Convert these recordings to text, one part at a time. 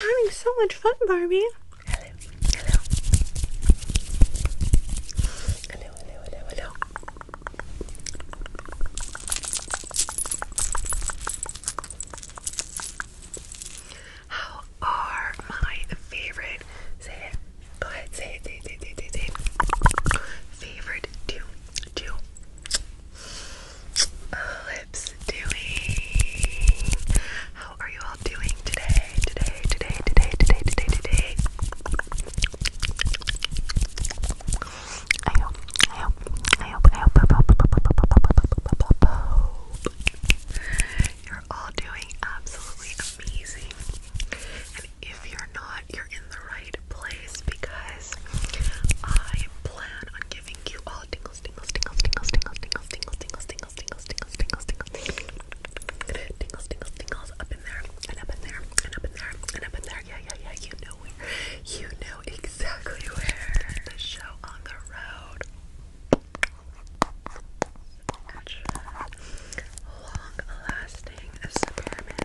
having so much fun, Barbie. Hello, hello, hello, hello, hello, How are my favorite? Say it. Go ahead. Say it. Say it. Say it. Say it. Favorite to do. Uh, doing? How are you all doing today? Today, today, today, today, today, today. I I hope, I hope, I hope, I hope, you're all doing absolutely amazing. And if you're not, you're in the right place because I plan on giving you all tingles, tingles, tingles, tingles, tingles, tingles, tingles, tingles, tingles, tingles, tingles, tingles, tingles, tingles, up in there, and up in there, and up in there, and up in there. Yeah, yeah, yeah. You know where. You know exactly where. The show on the road. Extra long-lasting experiment.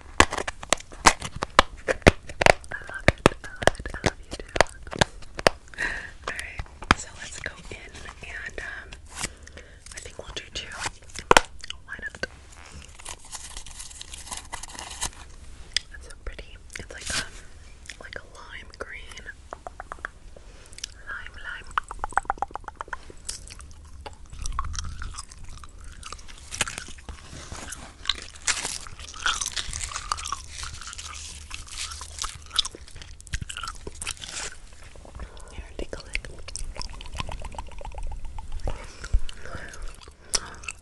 I love it. Alright, so let's go in and um, I think we'll do two. Why not? That's so pretty. It's like um like a lime green. Lime lime. Here,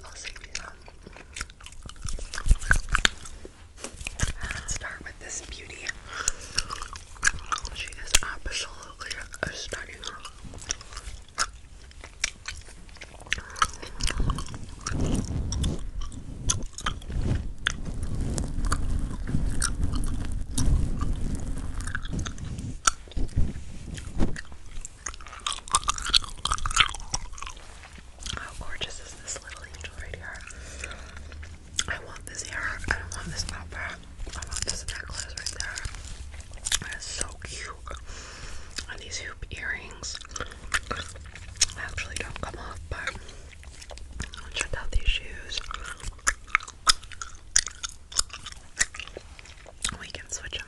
I'll save you some. Let's start with this beauty. She is absolutely stunning. How gorgeous is this little angel right here? I want this hair. I don't want this opera. I want this necklace right there. That is so cute. And these hoop earrings. I actually don't come off, but check out these shoes. We can switch up.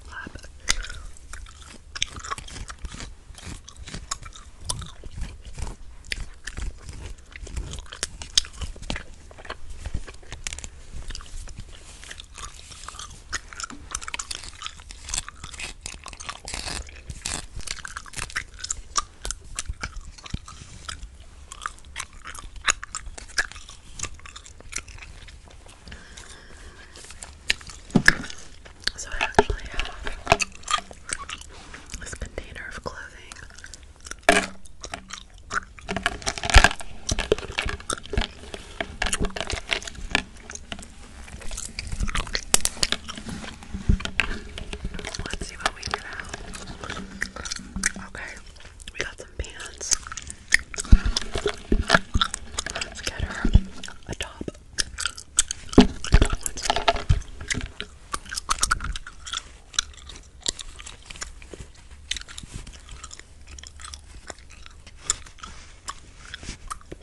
So I actually have this container of clothing. Let's see what we get out. Okay, we got some pants. Let's get her a top. Let's see.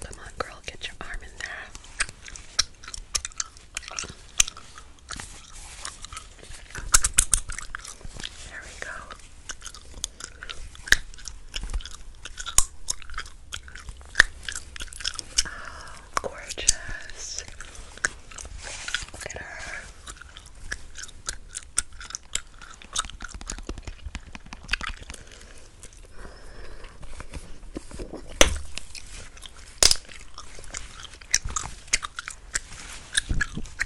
Come on, girl, get your arm in there. There we go. Oh, gorgeous. Look at her.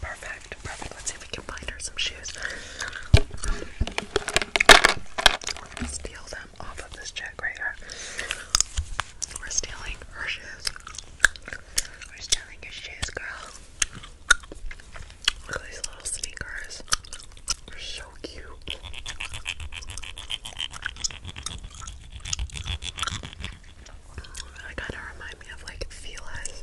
Perfect, perfect. Let's see if we can find her some shoes. steal them off of this chick We're stealing her shoes. We're stealing your shoes, girl. Look at these little sneakers. They're so cute. They kind of remind me of like Felice.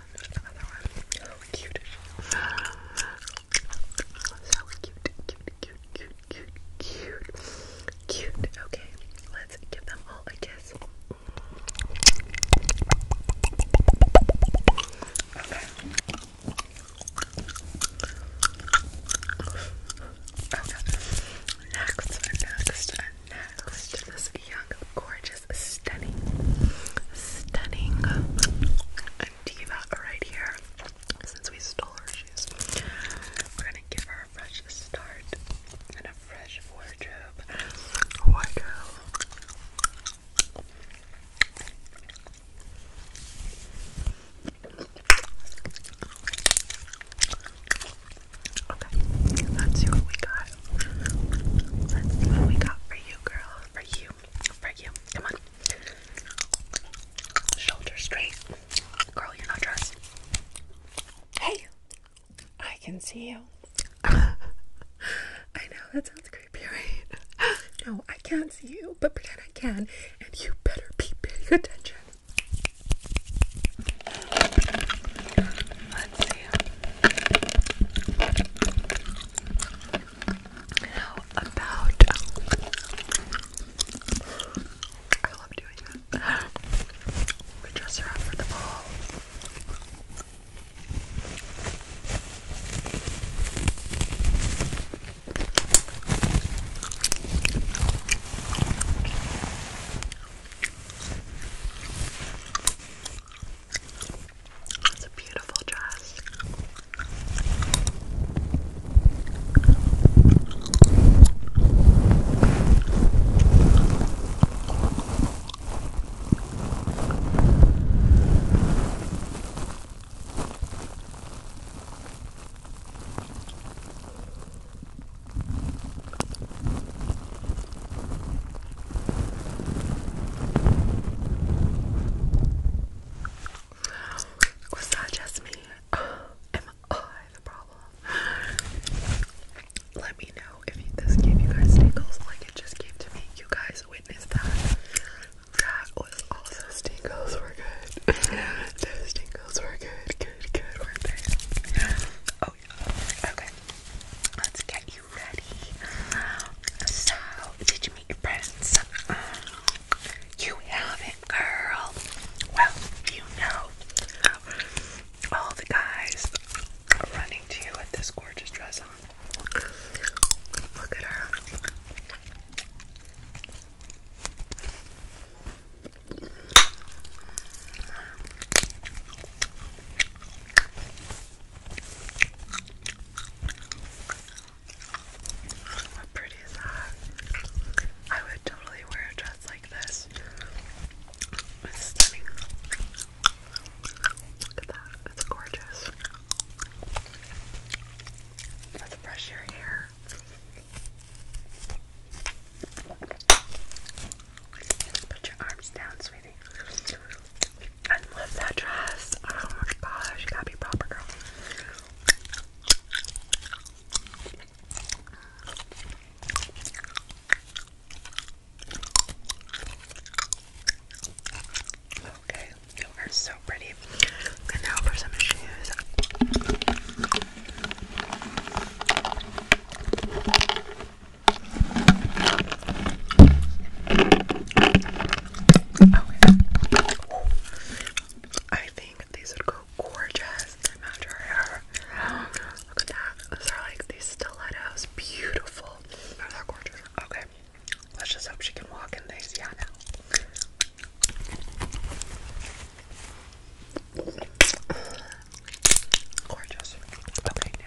Oh, cute. So cute, cute, cute, cute, cute, cute, cute. Okay, let's give them all a kiss. Okay. Okay. Next, next, I next this young, gorgeous, stunning, stunning diva right here. Since we stole her shoes, we're gonna give her a fresh start and a fresh wardrobe. Wardrobe. Okay, let's see what we got let what we got for you, girl. For you. For you. Come on. Shoulder straight. Girl, you're not dressed. Hey! I can see you. I know, that sounds creepy, no, I can't see you, but pretend I can, and you better be paying attention. Let's see. How about oh, I love doing that. We dress her up for the ball. It's a beautiful dress. Was that just me? Am I oh, the problem? Let me know if this gave you guys tingles like it just gave to me. You guys witnessed that. That was also tingles were good. Those tingles were good, good, good, Oh yeah. Okay. Let's get you ready? So, did you make your friends? Um, you haven't, girl. Well, you know, all the guys are running to you with this gorgeous dress on. Look at her. How pretty is that? I would totally wear a dress like this. Look at that. It's gorgeous. Let's brush your hair. Put your arms down, sweetie everything. I love that dress. Oh my gosh, you gotta be proper, girl. Okay, you are so pretty. And now for some shoes. Oh, I think these would go gorgeous to match our hair. Look at that. Those are like these stilettos. Beautiful. they're gorgeous. Okay. Let's just hope she can walk in these. Yeah, now. Gorgeous. Okay, now.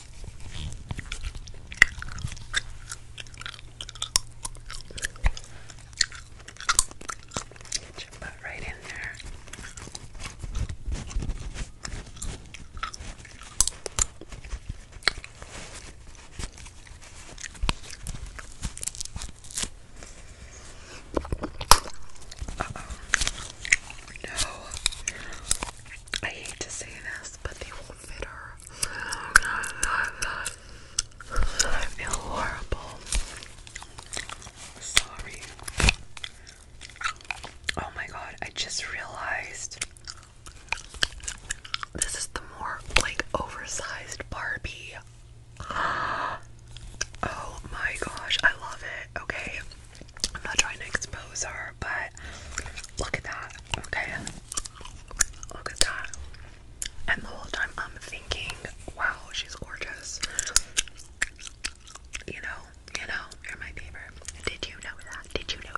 Get right in there. No. I hate to say this, but they will I feel horrible. Oh my god, I just realized this is the more like oversized Barbie. Oh my gosh, I love it. Okay, I'm not trying to expose her, but look at that. Okay, Look at that. And the whole time I'm thinking, wow, she's gorgeous. You know, you know, you're my favorite. Did you know that? Did you know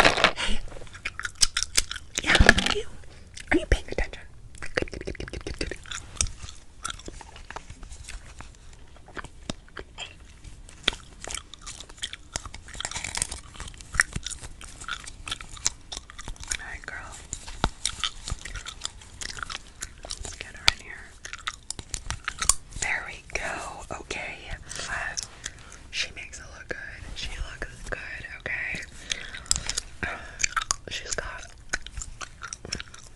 that? Hey. Yeah, you? Are you paying attention? Alright, girl. Let's get her in here. There we go. Okay. she makes it look good. She looks good, okay? she's got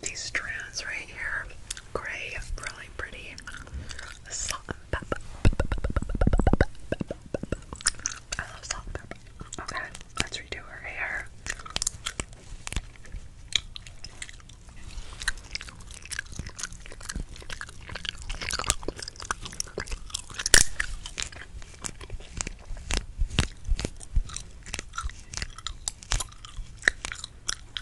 these strands right here grey, really pretty. I love salt Okay, let's redo her hair.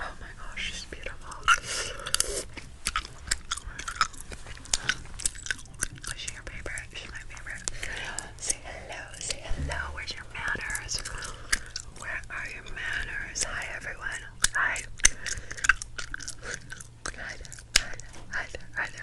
Oh my gosh, she's beautiful. Is she your favorite? She's my favorite. Say hello, say hello. Where's your manners? Where are your manners? Hi everyone. Hi. Hi there, hi there, hi there, hi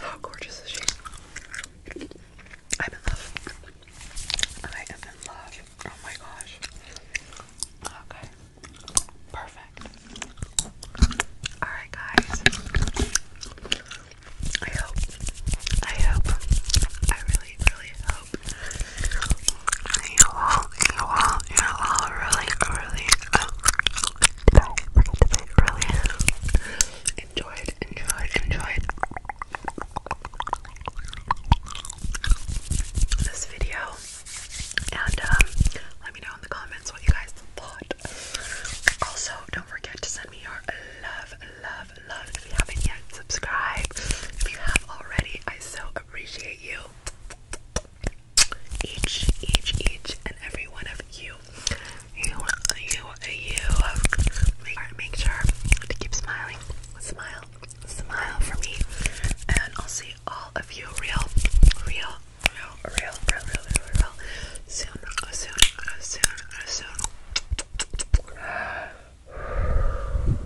How gorgeous is she? I'm in love. I am in love. Oh my gosh. Okay. Perfect. Alright guys. I hope. I hope. I really, really hope you all, you all, you all really, really enjoyed, enjoyed, enjoyed this video. And um, let me know in the comments what you guys thought. Also, don't forget to send me your love, love, love if you haven't yet subscribed. If you have already, I so appreciate you each, each, each, and every one of you, you, you, you, make sure to keep smiling, smile, smile for me, and I'll see all of you real, real, real, real, real, real, real, real soon, uh, soon, uh, soon, uh, soon.